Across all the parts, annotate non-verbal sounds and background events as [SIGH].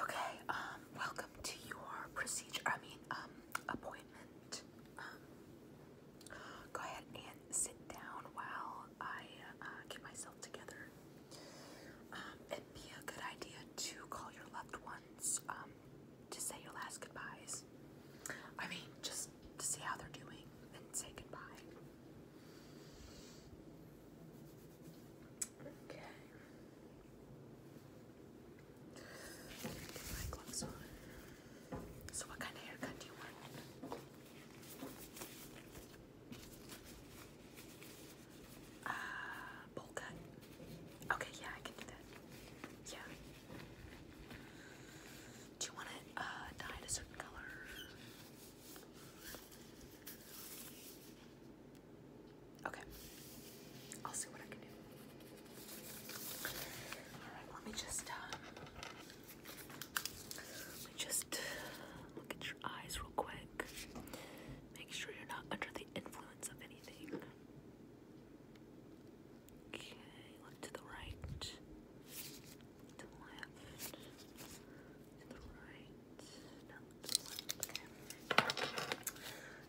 Okay, um, welcome to your procedure, I mean, um, appointment. Um, go ahead and sit down while I uh, get myself together. Um, it'd be a good idea to call your loved ones, um, to say your last goodbyes. I mean, just to see how they're doing and say goodbye. Okay. So, what kind of haircut do you want? Uh, bowl cut. Okay, yeah, I can do that. Yeah. Do you want it uh, dyed a certain color? Okay. I'll see what I can do. Alright, let me just uh, let me just look at your eyes real quick. Make sure you're not under the influence of anything. Okay, look to the right. To the left.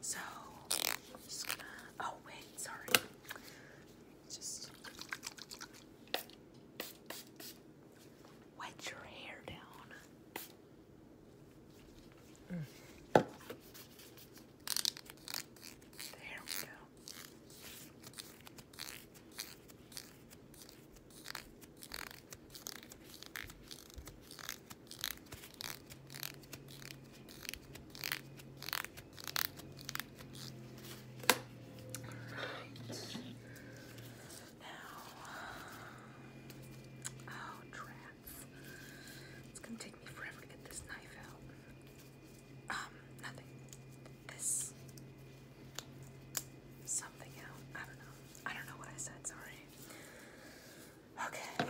So, just gonna. Oh, wait, sorry. Just. Wet your hair down. There we go. Now, oh, drats. It's gonna take me forever to get this knife out. Um, nothing. This something else. I don't know. I don't know what I said, sorry. Okay.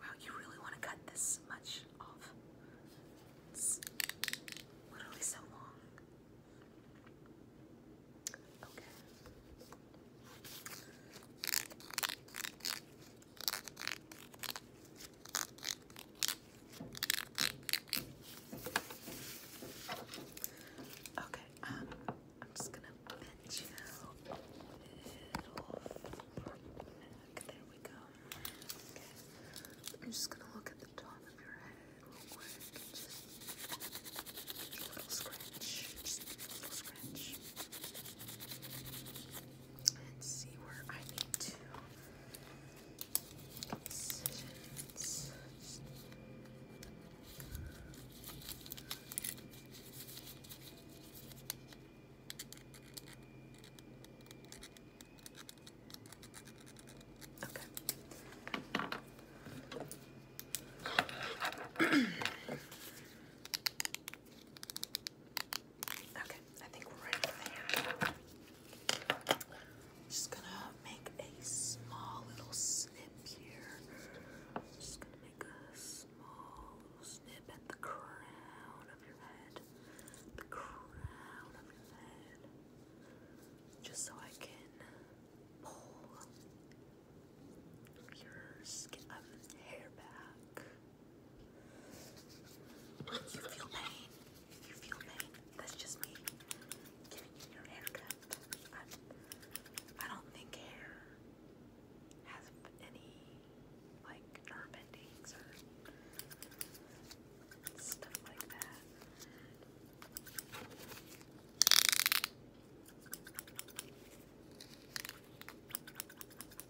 Wow, you really want to cut this much off? It's literally so long. Okay. Okay, um, I'm just gonna bend you a little There we go. I'm just gonna look at the top of your head little scratch. little scratch and see where I need to make decisions. Okay. [CLEARS THROAT] Okay, I think we're ready Just gonna make a small little snip here. Just gonna make a small snip at the crown of your head. The crown of your head. Just so I can pull your um, hair back. You feel pain. You feel pain. That's just me giving you your haircut. I'm, I do not think hair has any like nerve endings or stuff like that.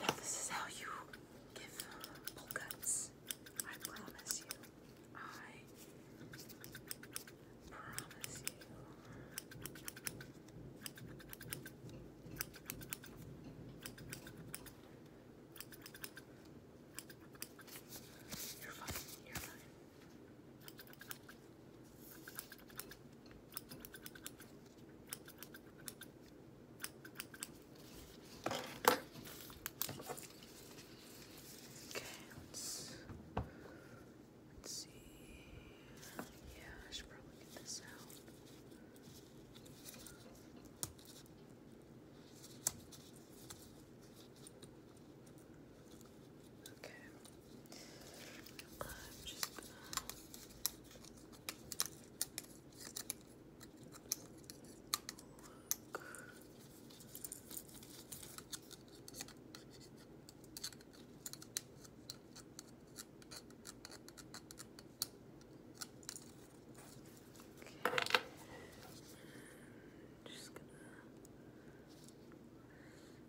Now this is how you give pull cuts. I promise you. I promise you. You're fine. You're fine. Okay, let's let's see. Yeah, I should probably get this out. Okay. Okay. I'm just gonna Okay. just gonna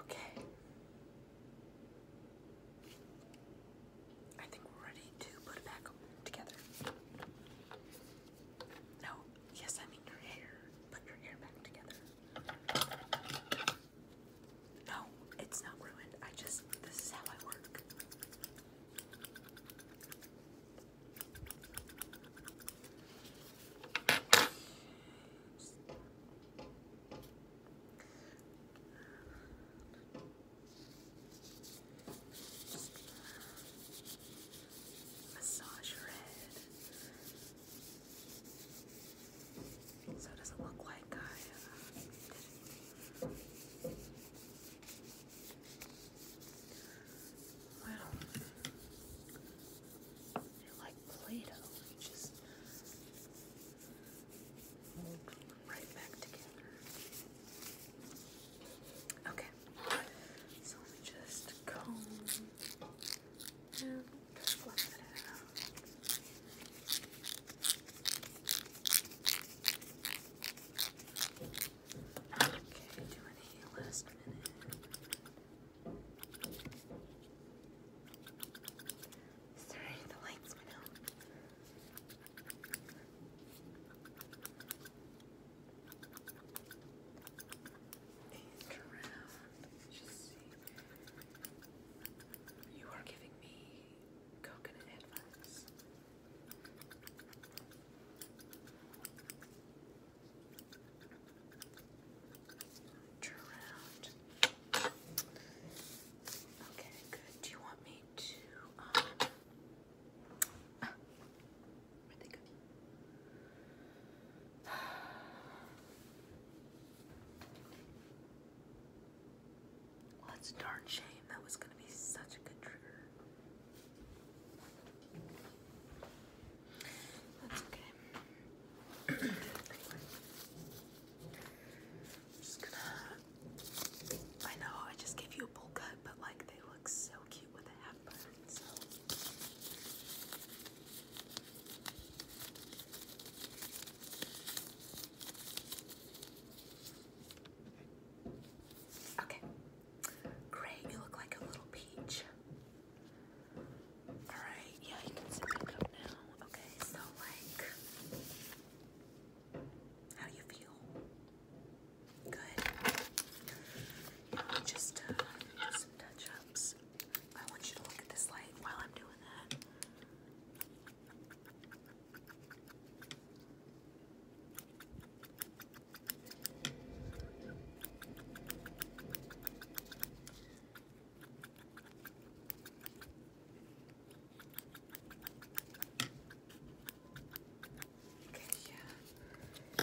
Okay. I think we're ready to put it back together. No, yes, I mean your hair. Put your hair back together. No, it's not ruined. I just, this is how I work. Massage your head. So doesn't look like I uh, did like Play-Doh. You just mold right back together. Okay. So let me just comb and fluff it out. Okay, do any last minute. Sorry, the lights went out. And around, just see. You are giving me coconut advice. Turn around. Okay, good. Do you want me to um, Ah, that's a darn shame. That was going to be such a good trigger. That's okay. I know I just gave you a bowl cut, but like they look so so Okay. Great, you look like a little peach. Alright, yeah, you can sit back up now. Okay, so like how do you feel? Good. Uh, just some touch ups. I want you to look at this light while I'm doing that. Yeah.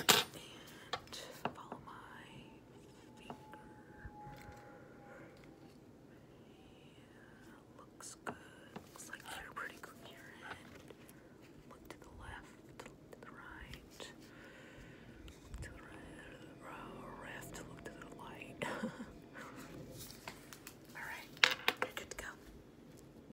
follow my finger. Yeah, looks good. Looks like you're pretty coherent. Look to the left, to the right. to the right, to look to the light. Alright, good to go.